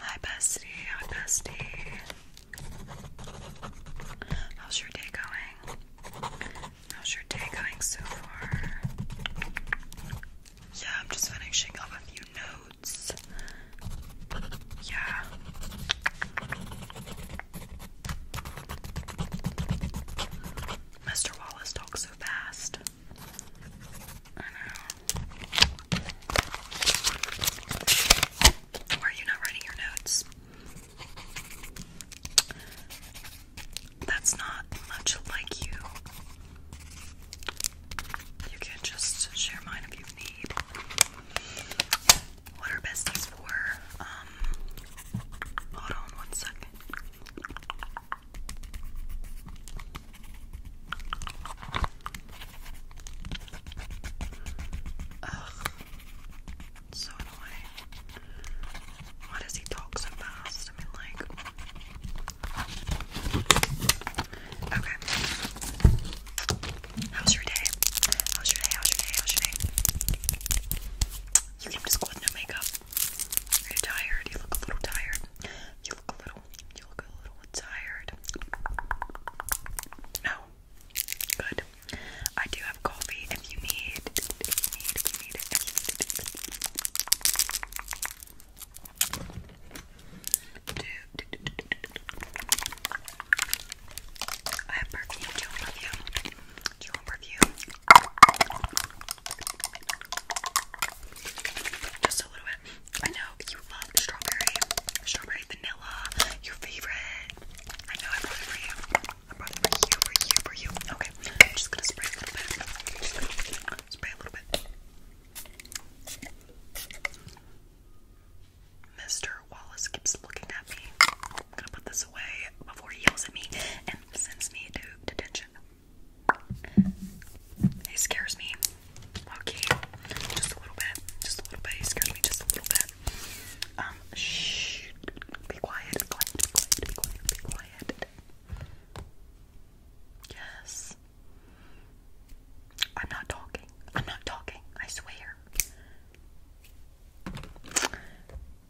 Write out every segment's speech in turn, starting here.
Hi, bestie. Hi, bestie. How's your day going? How's your day going so far? Yeah, I'm just finishing up a few notes. Yeah. Mr. Wallace talks so fast. I know. Why are you not writing your notes? That's not much like you. You can just share mine if you need. What are besties for? Um, hold on one second. Ugh. So annoying. Why does he talk so fast? I mean, like. Okay. How's your day? How's your day? How's your day? How's your day? You came just school with no makeup. you tired? You look a little tired. You look a little. You look a little tired. No. Good. I do have coffee if you need. If you need. need need I have perfume. Do you want perfume? Do you want perfume? Just a little bit. I know you love strawberry, strawberry vanilla, your favorite. I know I brought it for you. I brought it for you, for you, for you. Okay, I'm just gonna spray a little bit. spray a little bit. Mr. Wallace keeps looking at me. I'm gonna put this away before he yells at me and sends me to detention. He scares me. Okay. Just a little bit. Just a little bit. He scares me just a little bit. Um, shh. Be quiet. Be quiet. Be quiet. Be quiet. Yes. I'm not talking. I'm not talking. I swear.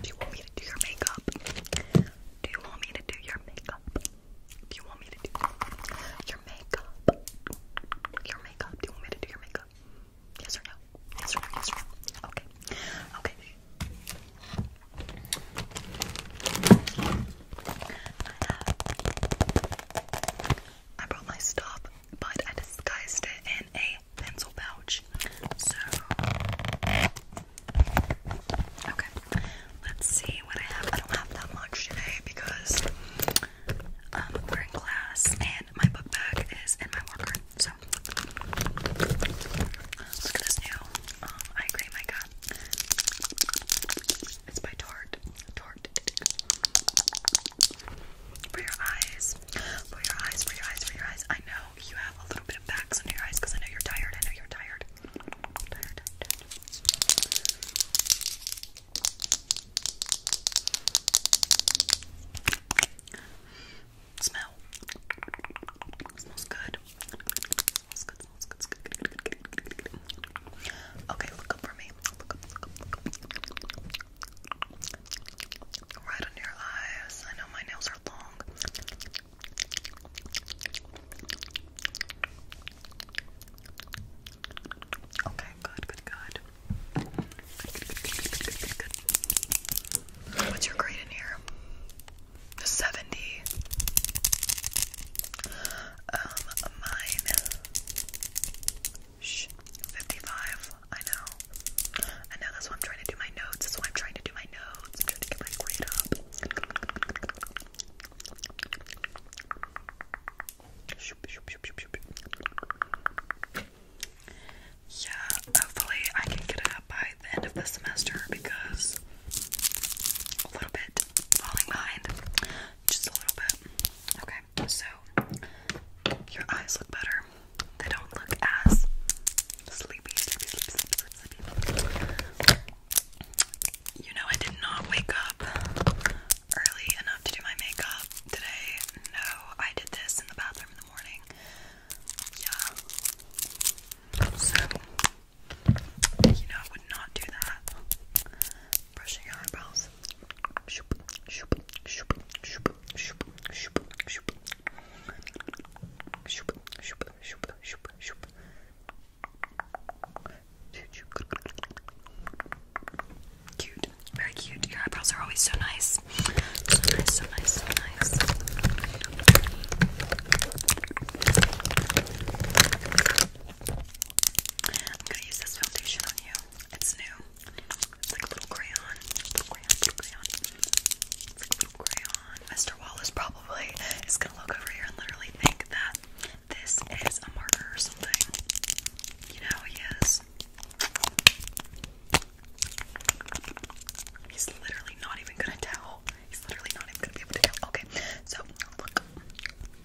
Do you want me to do your makeup? Do you want me to do your makeup? Do you want me to do your makeup? Your makeup? Do you want me to do your makeup? Yes or no? Yes or no? Yes or no? Okay. Okay. I brought my stuff but I disguised it in a pencil pouch. So, okay, let's see what I have. I don't have that much today because um, we're class and my book bag is in my locker. So, look at this new um, eye cream I got. It's by Tarte. Tarte for your eyes, for your eyes, for your eyes, for your eyes. I know you have a little bit of backs under your eyes because I know you're tired. I know you're tired. Smell. Smells good. Smells good. Smells good. Smells good. Okay, look up for me. Right under your eyes. I know my nails are long. Okay, good, good, good. What's your grade in here? 70. Um, mine Shh. 55. I know. I know. That's why I'm trying to do my notes. That's why I'm trying to do my notes. I'm trying to get my grade up. Yeah, hopefully I can get it up by the end of the semester because a little bit falling behind. Just a little bit. Okay so your eyes look better. They don't look as sleepy, sleepy, sleepy, sleepy, sleepy. You know, I did not wake up early enough to do my makeup today. No, I did this in the bathroom in the morning. Yeah. So, you know, I would not do that. Brushing your eyebrows. Cute, very cute. Your eyebrows are always so nice. So nice, so nice, so nice. I'm gonna use this foundation on you. It's new. It's like a little crayon. Mr. Wallace probably is gonna look over here and literally think that this is a marker or something. You know he is. He's literally not even gonna tell. He's literally not even gonna be able to tell. Okay, so look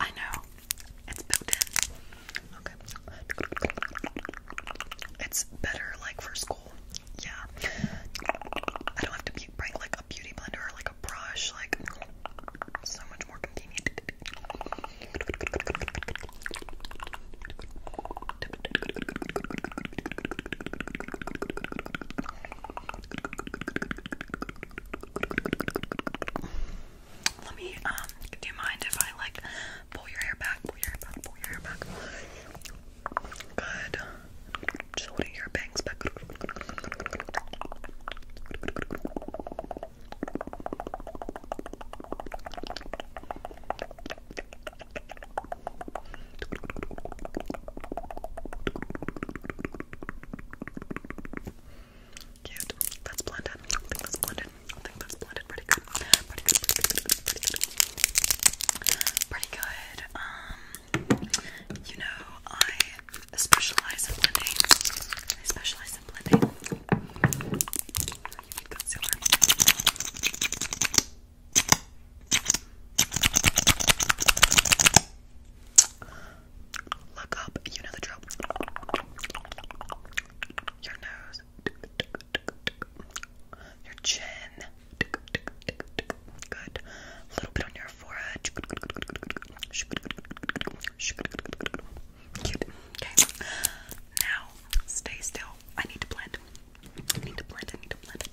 I know. It's built in. Okay. It's better like for school. Yeah. I don't have to bring like a beauty blender or like a brush. Like so much more convenient. Let me, um, do you mind if I like pull your hair back, pull your hair back, pull your hair back? Good. Just your bangs back. Cute. That's blended. I think that's blended. I think that's blended pretty good. Pretty good, pretty good, pretty good, Um, you know, I specialize in blending. I specialize in blending. Look up, you know the drill. Your nose, your chin, good. A little bit on your forehead. Cute. Okay. Now, stay still. I need to blend. I need to blend. I need to blend.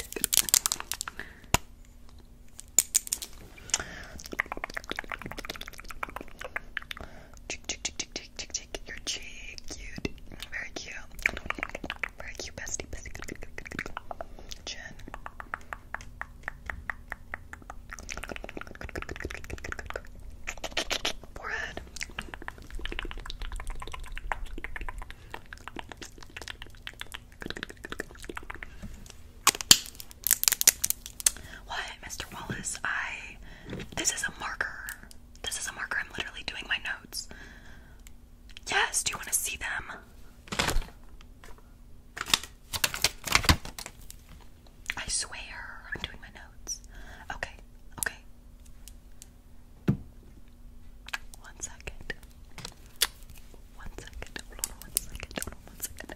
Cheek, cheek, cheek, cheek, cheek, cheek, cheek. Your cheek, cute, very cute, very cute, bestie, bestie. Chin. Forehead. What, Mr. Wallace? I. This is a marker. This is a marker. I'm literally doing my notes. Yes, do you want to see them? I swear I'm doing my notes. Okay, okay. One second. One second. Hold on one second. Hold on one second.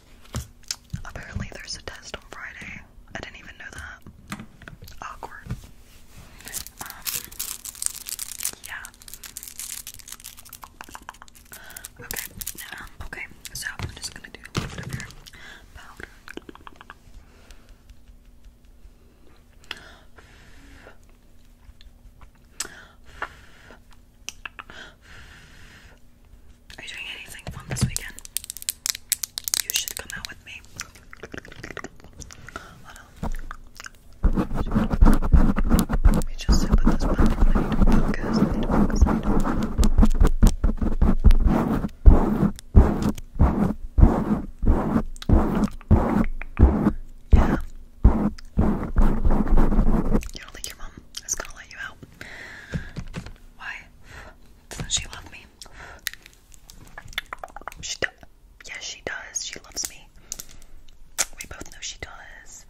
Apparently, there's a test on Friday. I didn't even know that. Awkward. Um, yeah. Okay, um, okay, so I'm just gonna do a little bit of your are you doing anything fun this weekend? You should come out with me. Let me just sit this one. Yeah. You don't think your mom is gonna let you out? Why? Doesn't she love me? She does. Yes, she does. She loves me. We both know she does.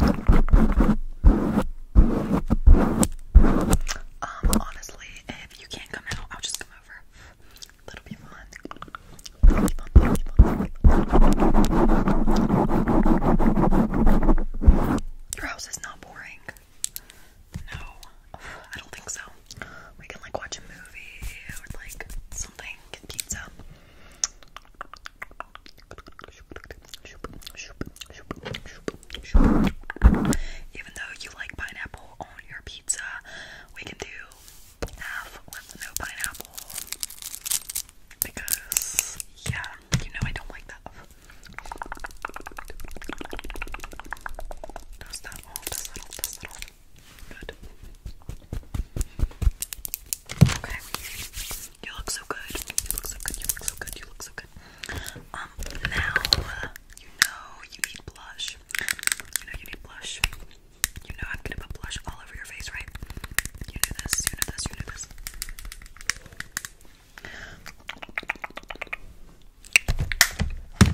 Um, um honestly, if you can't come out, I'll just come over. That'll be fun. Your house is not boring. No, I don't think so. We can like watch a movie or like something, get pizza. Even though you like pineapple on your pizza, we can do half with no pineapple because, yeah, you know I don't like that. Good. Okay. You look so good. You look so good. You look so good. You look so good. Um, now you know you need blush. You know you need blush. You know I'm gonna put blush all over your face, right? You know this, you know this, you know this.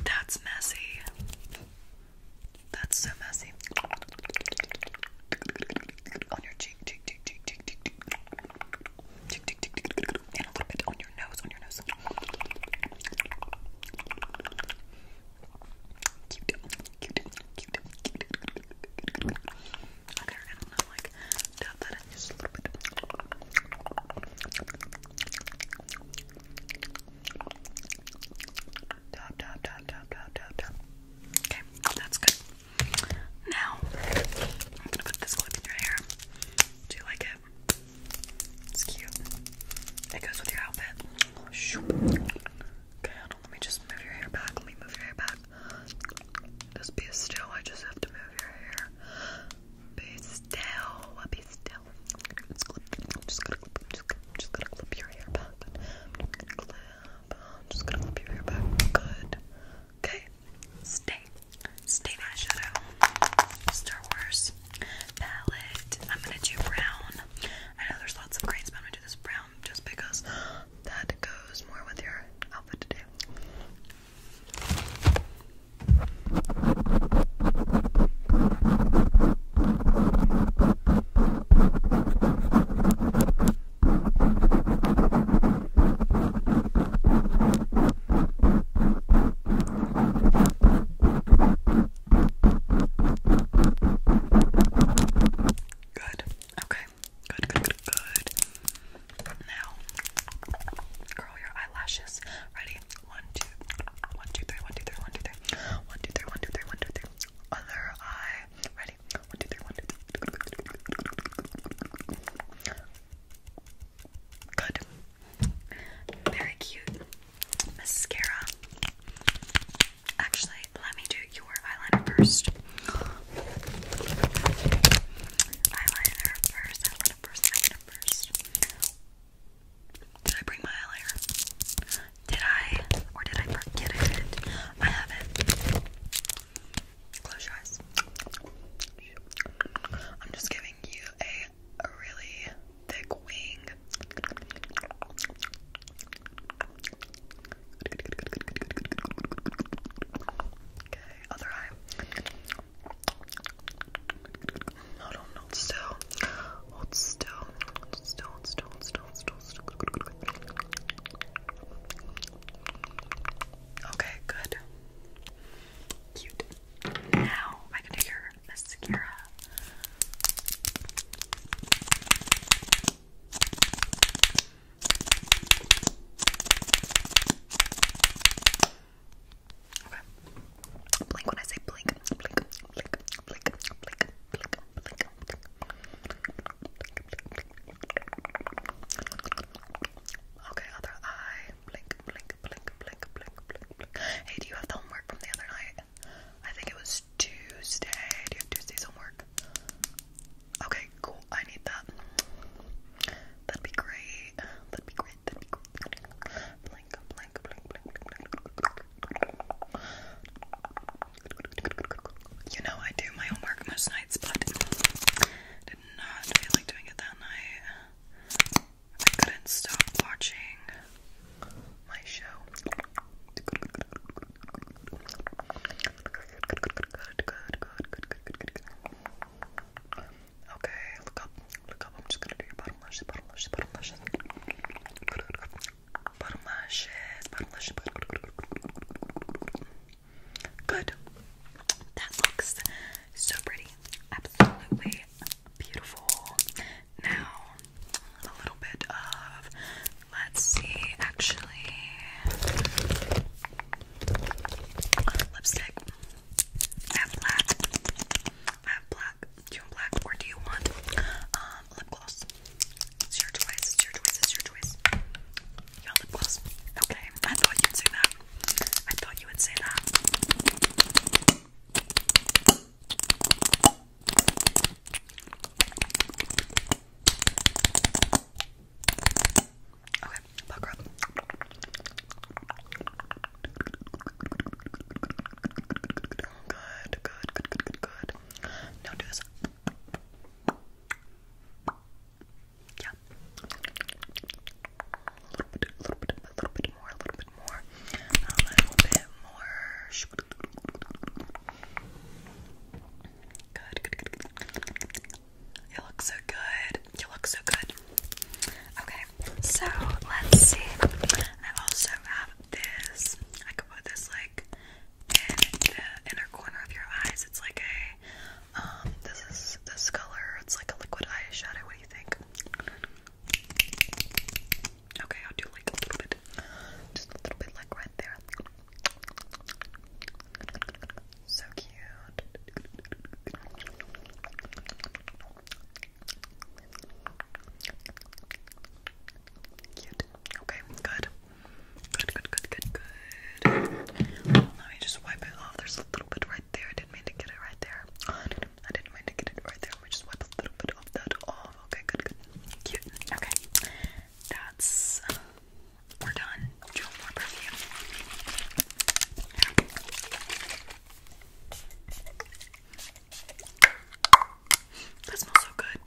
That's messy. That's so messy. On your cheek, cheek, cheek, cheek, cheek, cheek, cheek. Tick, tick, tick, tick, tick, and a little bit on your nose, on your nose. Okay, I don't know, like, dab that in just a little bit. dab, dab, dab, dab, dab, dab. Okay, that's good. Now, I'm gonna put this clip in your hair. Do you like it? It's cute. It goes with your outfit. Okay, let me just move your hair back. Let me move your hair back. Just be still. I just have to move your hair. Be still. Be still. I'm just gonna clip. I'm just, gonna clip your hair back. clip. I'm just gonna clip your hair back. Good. Okay. Stay. Stay that shadow. Star Wars palette. I'm gonna do brown. I know there's lots of greens, but I'm gonna do this brown just because that goes more with your outfit today. Good. Okay. Good, good, good, good. Now, curl your eyelashes. Ready? One, two, one, two, three, one, two, three, one, two, three. One, two, three, one, two, three, one, two, three. Other eye. Ready? One, two, three, one, two, three. Good. Very cute mascara. Actually, let me do your eyeliner first. Eyeliner first, eyeliner first, eyeliner first. Did I bring my eyeliner? Did I? Or did I forget it? I have it. Close your eyes. I'm just giving you a a really thick wing. Okay, other eye. Hold on, hold still. Hold still. Hold still, hold still, hold Okay, good. Cute. Now I can do mascara. Okay. Blink when I say blink. Blink, blink, blink, blink, blink, blink, blink. Okay, other eye. Hey, do you have homework from the other night? I think it was Tuesday. Do you have Tuesday's homework? Okay, cool. I need that. That'd be great. That'd be great. That'd be great. You know I do my homework most nights, but did not feel like doing it that night. I couldn't stop watching my show. Okay, look up, look up. I'm just gonna do your bottom lashes, bottom lashes, bottom lashes. Bottom lashes, bottom lashes. Good. That looks so pretty. Absolutely beautiful. Now, a little bit of, let's see, actually, lipstick. I have black. I have black. you want black or do you want um, lip gloss? It's your choice. It's your choice. It's your choice. You want lip gloss? Okay. I thought you'd say that. I thought you would say that. Okay, buck up. Good, good, good, good, good, good. Now do this. Yeah, a little bit, a little bit, a little bit more, a little bit more, a little bit more. Good, good, good, good. You look so good. You look so good. Okay, so let's see. I also have this. I could put this like in the inner corner of your eyes. It's like a um, this is this color. It's like a liquid eyeshadow. What do you think? Okay, I'll do like a little bit, just a little bit, like right there. So cute. Cute. Okay, good. Good, good, good, good, good. Let me just wipe it off. There's a little bit right there. I didn't mean to get it right there. I didn't mean to get it right there. Let just wipe a little bit of that off. Okay, good, good. Cute. Okay. That's uh, we're done. Do more perfume. That smells so good.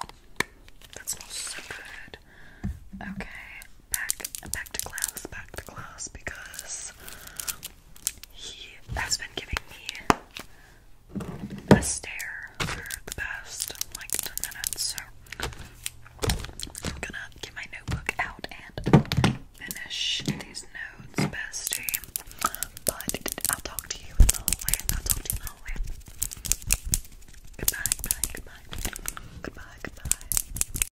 That smells so good. Okay, back back to class, back to class because he has been giving me a stare for the past like 10 minutes. So I'm gonna get my notebook out and finish these notes, bestie. But I'll talk to you in the hallway. I'll talk to you in the hallway. Goodbye, goodbye, goodbye. Goodbye, goodbye.